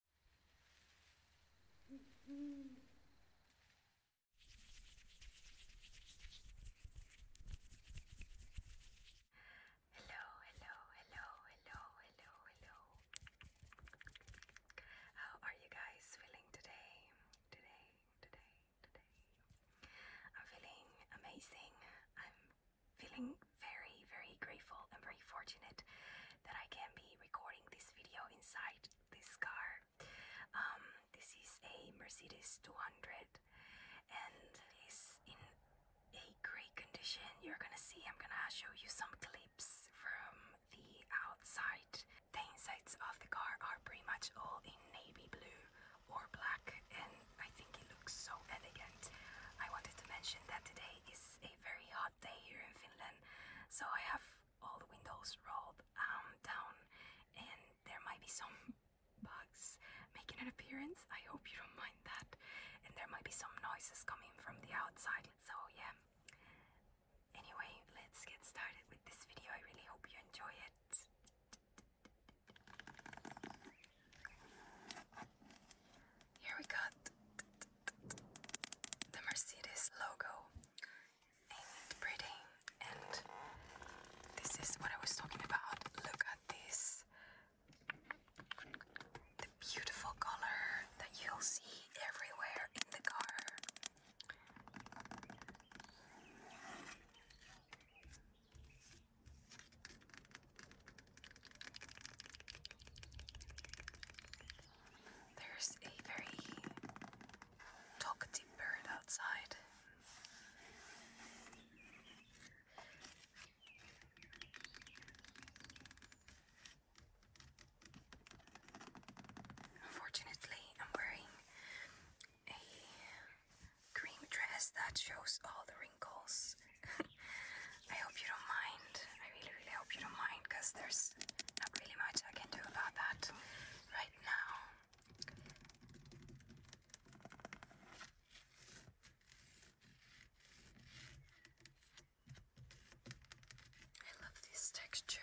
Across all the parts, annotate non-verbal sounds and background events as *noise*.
Hello, hello, hello, hello, hello, hello. How are you guys feeling today? Today, today, today. I'm feeling amazing. I'm feeling very, very grateful and very fortunate that I can be recording this video inside this car. Um, this is a Mercedes 200 and it's in a great condition. You're gonna see, I'm gonna show you some clips from the outside. The insides of the car are pretty much all in navy blue or black and I think it looks so elegant. I wanted to mention that today is a very hot day here in Finland, so I have all the windows rolled um, down, and there might be some *laughs* bugs making an appearance. I hope you don't mind that. And there might be some noises coming from the outside. So yeah. Anyway, let's get started with this video. I really hope you enjoy it. Here we got the Mercedes logo. Ain't pretty? And this is what I was talking about. Look at this. The beautiful color that you'll see everywhere in the car. There's a very talkative bird outside. Unfortunately, I'm wearing a cream dress that shows all the wrinkles I hope you don't mind. I really, really hope you don't mind because there's not really much I can do about that right now. I love this texture.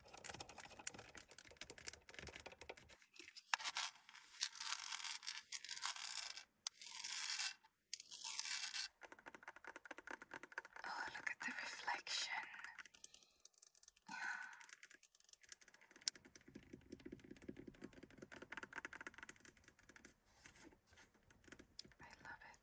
Oh, look at the reflection. I love it.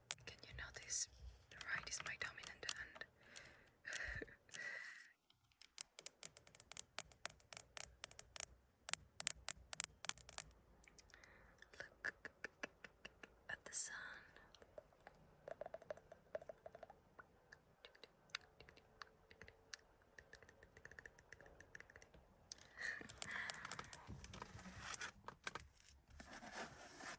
Can you notice the right is my dominant hand? *laughs* Look at the sun. *laughs*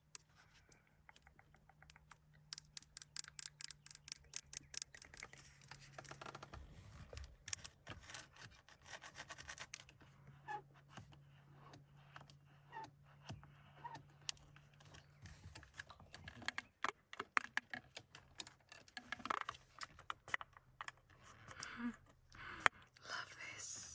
Love this.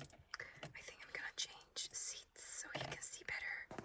I think I'm gonna change seats so you can see better.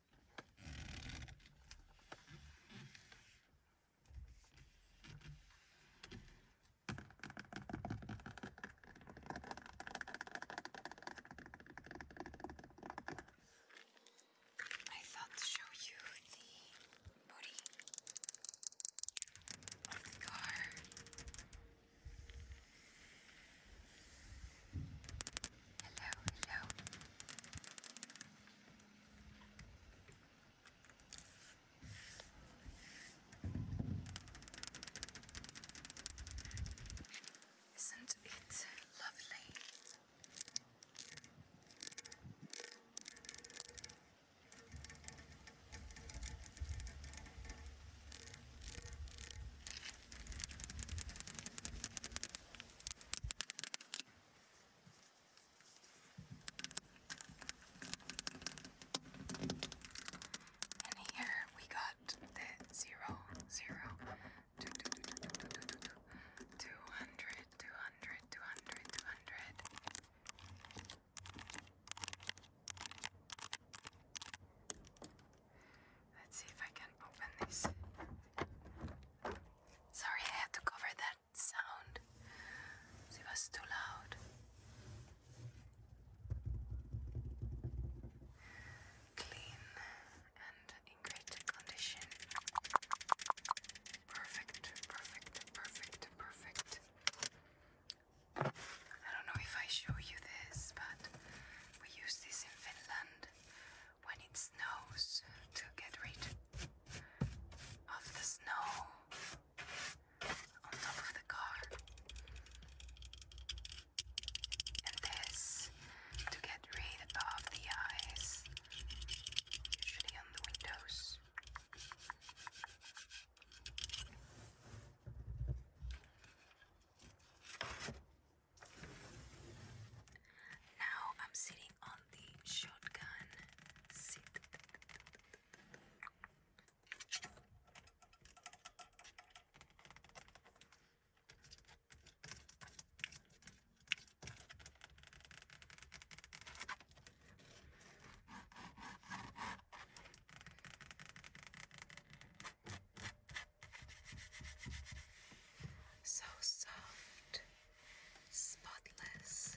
I thought to show you the body of the car. Hello, hello. Isn't it lovely? And here we got the zero, zero, two, two, two, two, two, two, two, two, two hundred, two hundred, two hundred, two hundred. Let's see if I can open this. Sorry, I had to cover that sound. It was too loud. Clean and in great condition. Perfect, perfect, perfect, perfect. I don't know if I show you this, but we use this in Finland when it snows to get rid of the snow on top of the car, and this to get rid of the ice, usually on the windows. Now I'm sitting on the shotgun seat. So soft, spotless.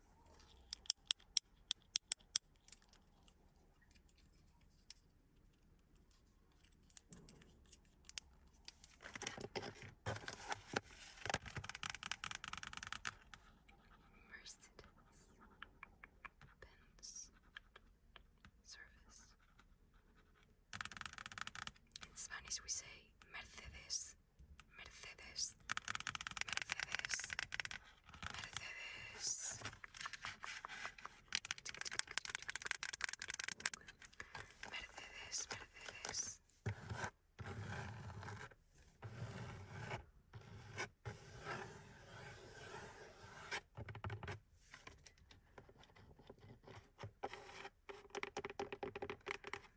Mercedes Benz service. In Spanish we say Mercedes Mercedes, Mercedes, Mercedes. Mercedes, Mercedes.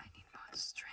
I need more strength.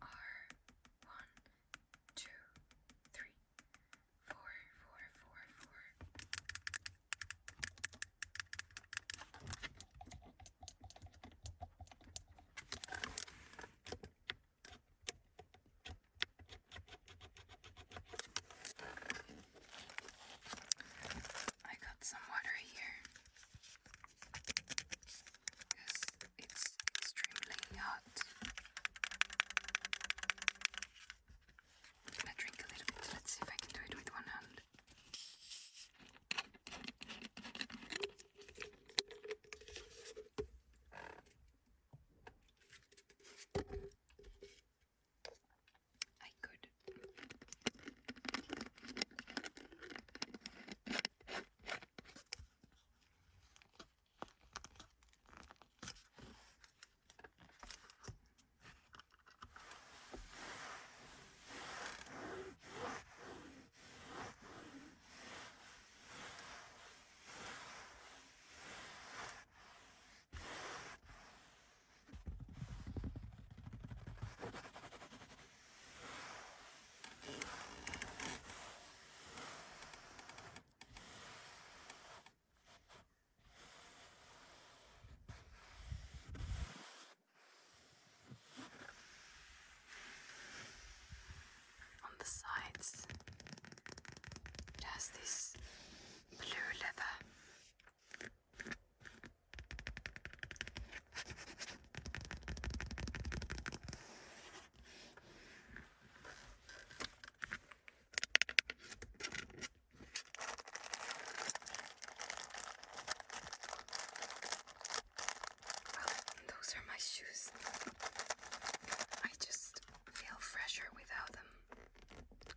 are one, two, three, four, four, four, four. I got some water here it's extremely hot. I'm drink a little bit. Let's see if I can do it with one hand. I could. On the sides, it has this blue leather those are my shoes. I just feel fresher without them.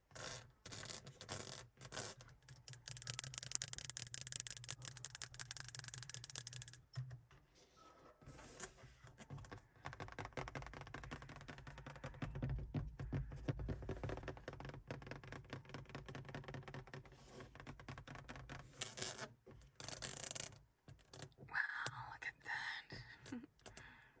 Wow, look at that. *laughs*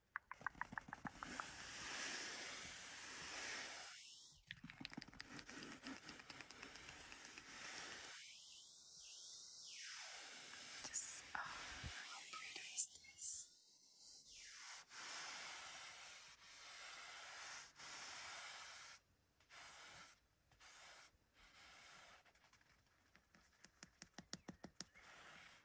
Just, oh, how pretty is this?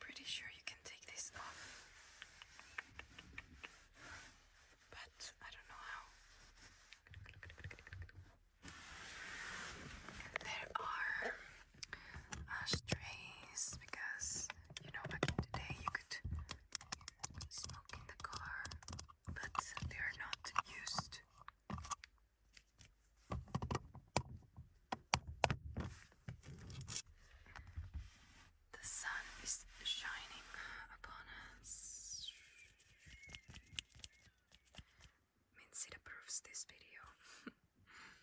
Pretty sure you can take this off, but I don't know how. There are ashtrays because you know, back in the day you could smoke in the car, but they are not used. The sun is shining upon us. Mincy approves this video. *laughs*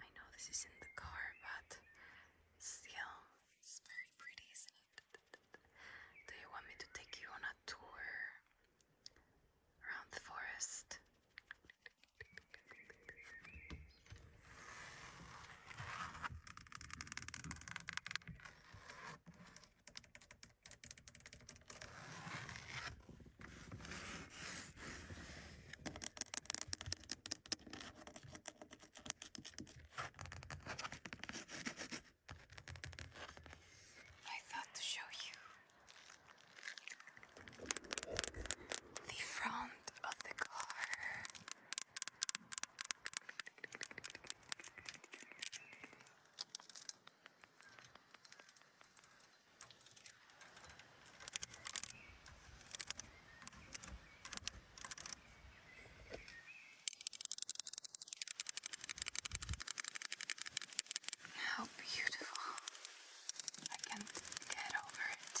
I know this is in the car, but still, it's very pretty, isn't it? Do you want me to take you on a tour around the forest? I thought to show you the front of the car. How beautiful. I can't get over it.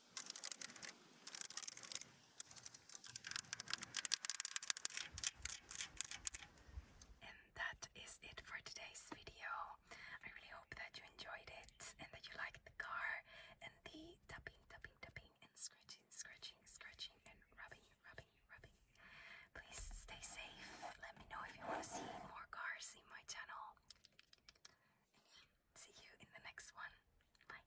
And that is it for today's video. I really hope that you enjoyed it and that you liked the car and the tapping, tapping, tapping, and scratching, scratching, scratching, and rubbing, rubbing, rubbing. Please stay safe. Let me know if you want to see more cars in my channel see you in the next one. Bye.